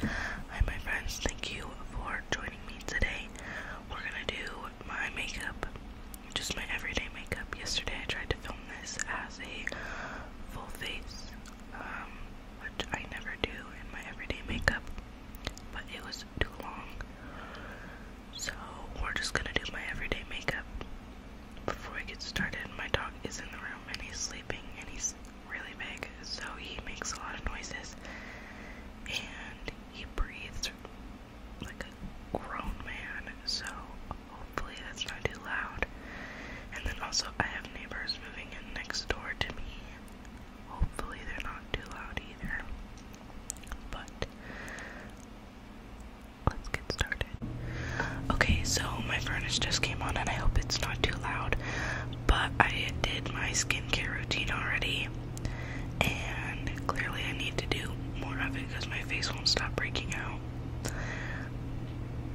Hi my friends, thank you for joining me today. We're gonna do my makeup, just my everyday makeup. Yesterday I tried to film this as a full face, um, which I never do in my everyday makeup, but it was too long. So we're just gonna do my everyday makeup. Before I get started, my dog is in the room and he's sleeping and he's really big, so he makes a lot of noises and he breathes like a grown man, so hopefully that's not too loud. And then also, I have neighbors moving in next door to me. Hopefully, they're not too loud either. But let's get started. Okay, so my furnace just came on, and I hope it's not too loud but I did my skincare routine already, and clearly I need to do more of it because my face won't stop breaking out.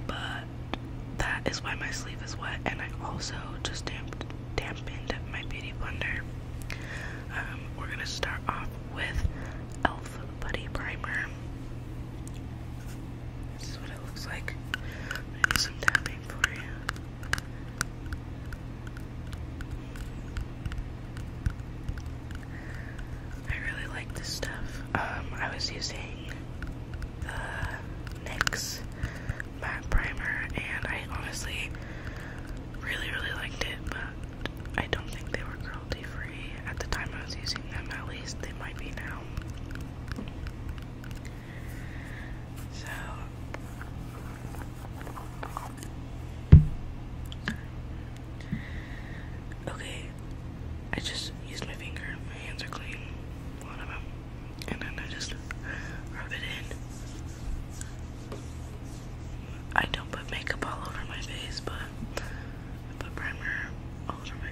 But that is why my sleeve is wet, and I also just damp dampened my beauty blender. Um, we're gonna start off with e.l.f. Buddy Primer. This is what it looks like. I'm do some tapping for you. I really like this stuff. Um, I was using the NYX matte primer, and I honestly really, really liked it, but I don't think they were cruelty free at the time I was using them. At least they might be now. So Okay. I just used my finger, my hands are clean, a of them. And then I just rub it in. I don't put makeup all over my face, but I put primer all over my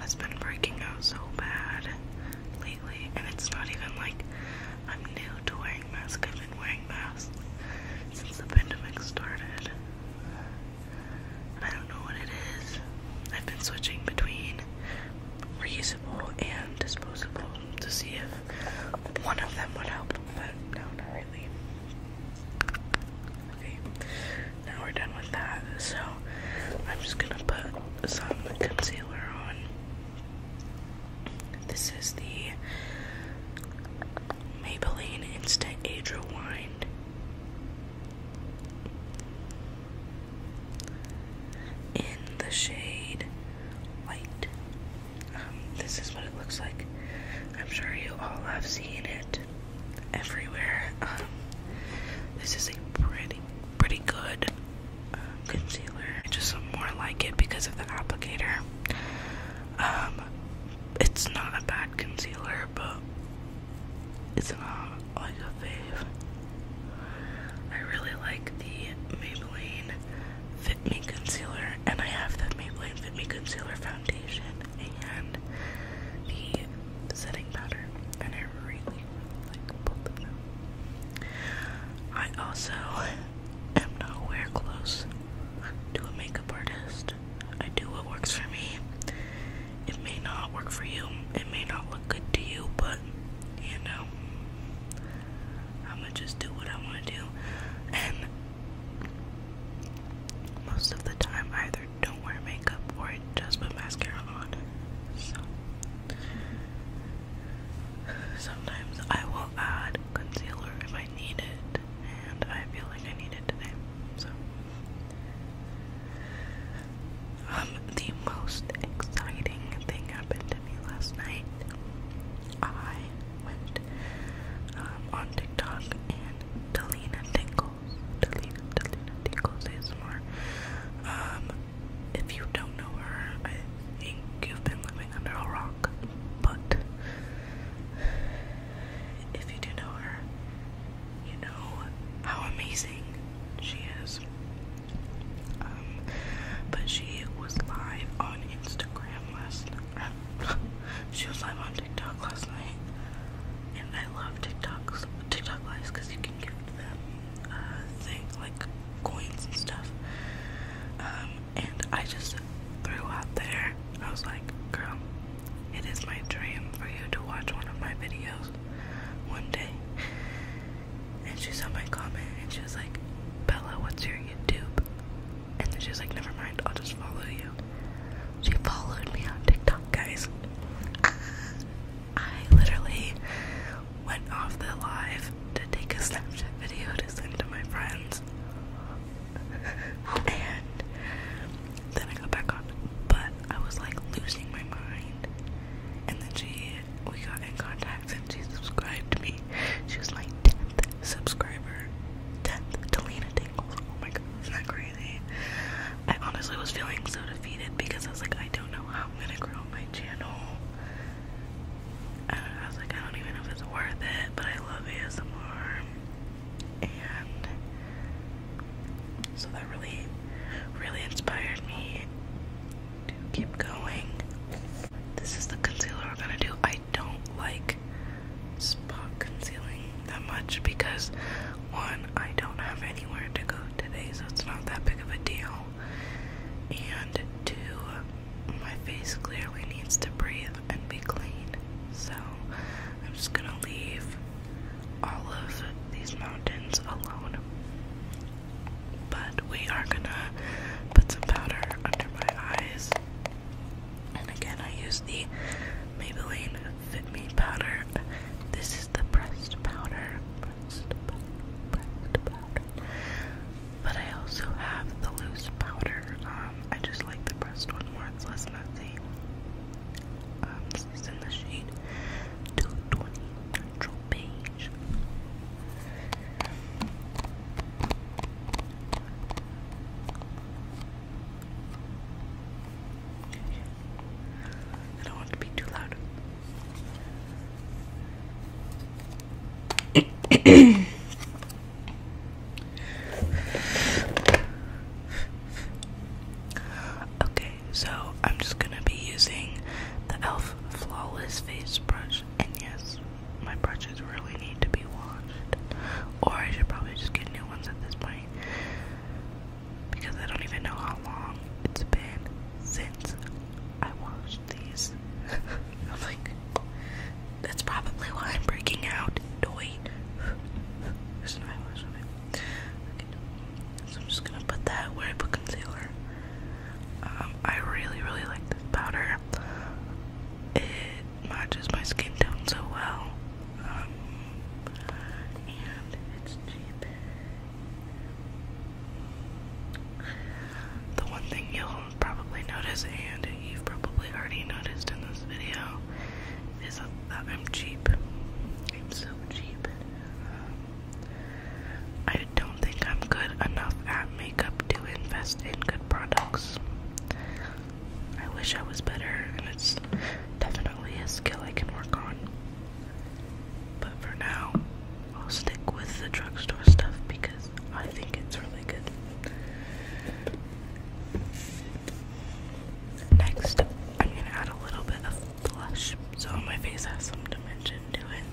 has been breaking out so bad lately, and it's not even like I'm new to wearing masks. I've been wearing masks since the pandemic started, and I don't know what it is. I've been switching between reusable and disposable to see if one of them would help, but no, not really. Okay, now we're done with that. So I'm just gonna put some concealer on. This is the Maybelline Instant Age Rewind. In the shade light. Um, this is what it looks like. I'm sure you all have seen it everywhere. Um, this is a pretty, pretty good uh, concealer. I just more like it because of the applicator. Um, it's not a bad concealer, but it's not like a fave. I really like the Maybelline Fit Me Concealer, and I have the Maybelline Fit Me Concealer foundation and the setting powder, and I really, like both of them. I also am nowhere close to a makeup artist. I do what works for me. It may not work for you, it may not look good to you, but you know, I'm gonna just do what I want to do. And most of the time, either don't wear makeup or just put mascara on. So sometimes I will add concealer if I need it, and I feel like I need today. So um, the most exciting thing happened to me last night. I went um, on TikTok and Delina Tinkle Delina, Delina Tingles ASMR. Um, if you don't know her, you've been living under a rock, but if you do know her, you know how amazing she is. Um, but she was live on Instagram last night. she was live on TikTok last night, and I love TikToks, TikTok lives because you can give them uh, things like coins and stuff. Um, and I just threw out there, I was like, girl, it is my dream for you to watch one of my videos one day. And she saw my comment and she was like, Bella, what's your YouTube? And then she was like, never mind, I'll just follow you. She followed me on TikTok, guys. I literally went off the live to take a Snapchat video to send to my friends. and then I got back on, but I was like losing my mind. And then she, we got in contact and she subscribed to me. She was like. 10th subscriber. 10th Delena Tingles. Oh my god, isn't that crazy? I honestly was feeling so defeated because I was like, I don't know how I'm gonna grow my channel. And I was like, I don't even know if it's worth it, but I love you ASMR. And so that really, really inspired me to keep going. This is the concealer we're gonna do. I I don't like spot concealing that much because one, I don't have anywhere to go today, so it's not that big of a deal. And two, my face clearly needs to breathe and be clean. So I'm just gonna leave all of these mountains alone. But we are gonna put some powder under my eyes and again, I use the Maybelline Fit Me powder. This is the pressed powder. But I also have the loose powder. Um, I just like the pressed one more. It's less messy. Um, this is in the shade 220 Natural Beige. I don't want to be too loud. okay, so I'm just gonna be using the e.l.f. Flawless Face Brush, and yes, my brushes really need to be washed. Or I should probably just get new ones at this point. Because I don't even know how long it's been since I washed these. I'm like, that's probably why I'm breaking out. Doy. So I'm just gonna put that where I put concealer. Um, I really, really like this powder it matches my skin tone so well. Um, and it's cheap. The one thing you'll probably notice, and you've probably already noticed in this video, is that I'm cheap. I'm so cheap. Um, I I don't think I'm good enough at makeup to invest in good products. I wish I was better, and it's definitely a skill I can work on. But for now, I'll stick with the drugstore stuff because I think it's really good. Next, I'm gonna add a little bit of blush so my face has some dimension to it.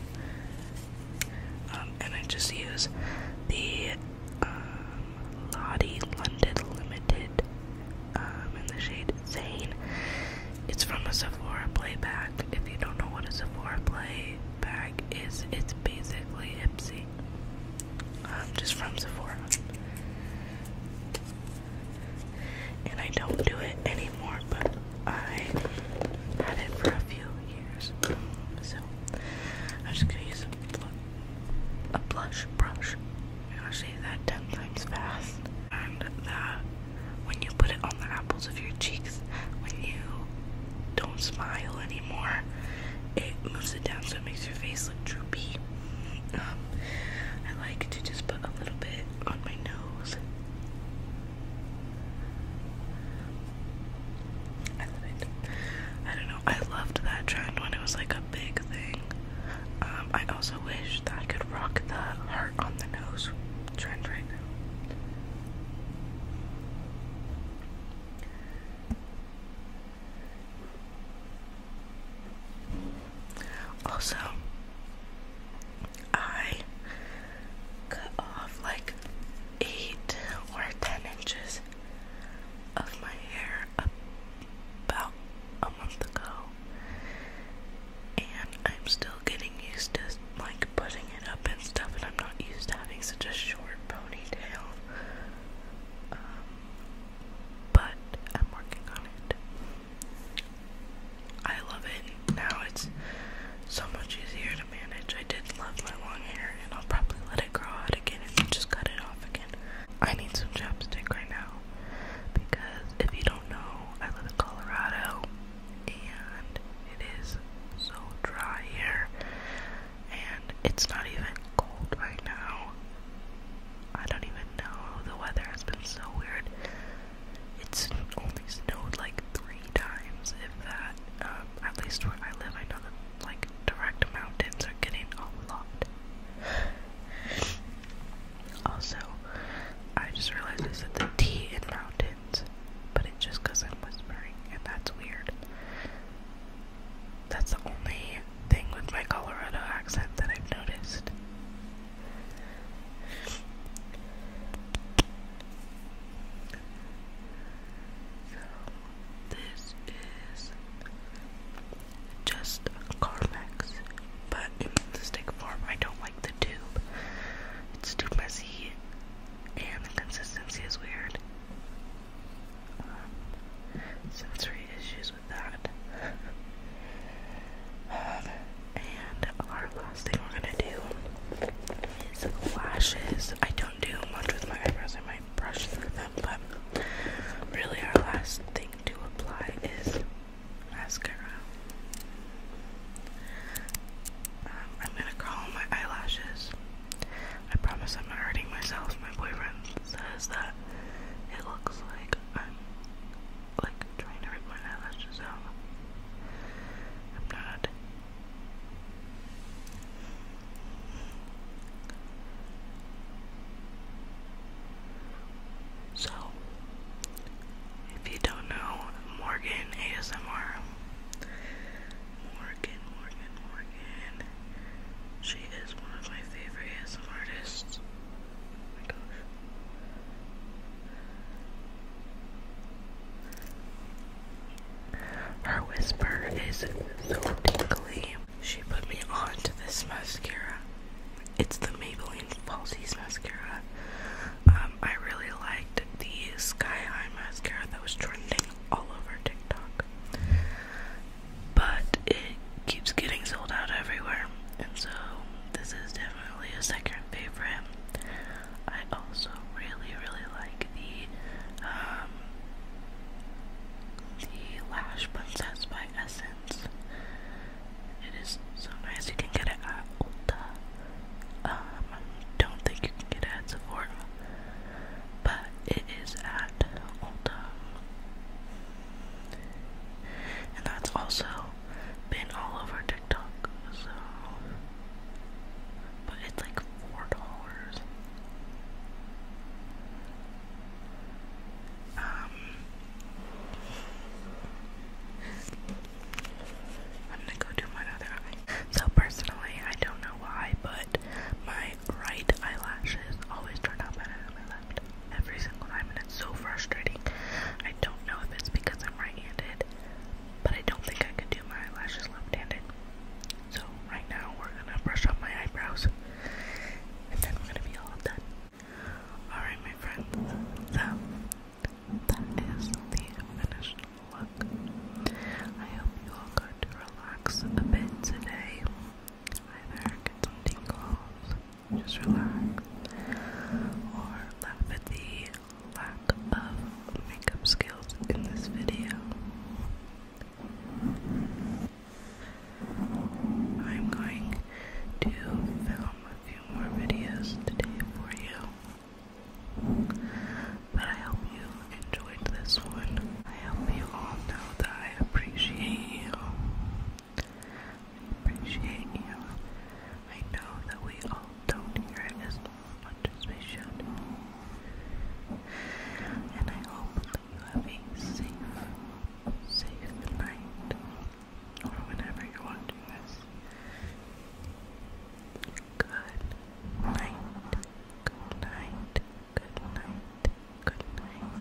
Um, and I just use the um, Lottie London Limited um, in the shade Zane. It's from a Sephora play playback. If you don't know what a Sephora play playback is, it's basically Ipsy. Um, just from Sephora. And I don't do it anymore, but I had it for a few years, so I'm just gonna use a, a blush brush. I'm gonna say that ten times fast, and that when you put it on the apples of your cheeks, when you don't smile anymore, it moves it down so it makes your face look droopy. Um, I like to just put a little bit on my nose I don't know. I loved that trend when it was like a big thing. Um, I also wish that I could rock the heart on the nose trend right now. Also, I cut off like eight or ten inches of my hair about a month ago, and I'm still getting used to like putting it up and stuff, and I'm not used to having such a short ponytail. Um, but I'm working on it. I love it. Now it's so much easier to manage. I did love my long hair, and I'll probably let it grow out again and just cut it off again. I need some chapstick right now because if you don't know, I live in Colorado and it is so dry here, and it's not even cold right now. I don't even know. The weather has been so weird. It's only snowed like three times, if that. Um, at least where I live, I know that like direct mountains are getting a lot. Also, I just realized I said the T in mountains, but it just because I'm whispering, and that's weird. That's the only thing with my Colorado accent that I've noticed this is just Carmex, but in the stick form. I don't like the tube. It's too messy, and the consistency is weird. Um, sensory issues with that. Uh, and our last thing we're gonna do is lashes. I don't do much with my eyebrows, I might brush through them, but really our last thing to apply is mascara. Um, I'm gonna curl my eyelashes. I promise I'm not hurting myself. My boyfriend says that it looks like I'm like trying to rip my I'm not. So, if you don't know, Morgan ASMR. Morgan, Morgan, Morgan. She is one of my favorite ASMR artists. Oh Her whisper is so tingly. She put me on to this mascara. It's the Maybelline Falsies mascara. Um, I really liked the Sky High mascara that was trending all over TikTok. But it keeps getting sold out everywhere. And so this is different definitely a second favorite. I also really, really like the um, the Lash Princess by Essence. It is so nice. You can get it at Ulta. Um, don't think you can get it at Sephora, but it is at Ulta. And that's also been all over TikTok, so but it's like four dollars. Um I'm gonna go do my other eye. So personally I don't know why, but my right eyelashes always turn out better than my left every single time, and it's so frustrating. I don't know if it's because I'm right-handed, but I don't think I can do my eyelashes left-handed. So right now, we're gonna brush up my eyebrows, and then we're gonna be all done. All right, my friends. So that is the finished look. I hope you all got to relax a bit today. Either get some tingles just relax, or laugh at the lack of makeup skills in this video. I'm going to film a few more videos today for you, but I hope you enjoyed this one. I hope you all know that I appreciate you I appreciate you. I know that we all don't hear as much as we should. And I hope that you have a safe, safe night. Or whenever you're watching this. Good night. Good night. Good night. Good night.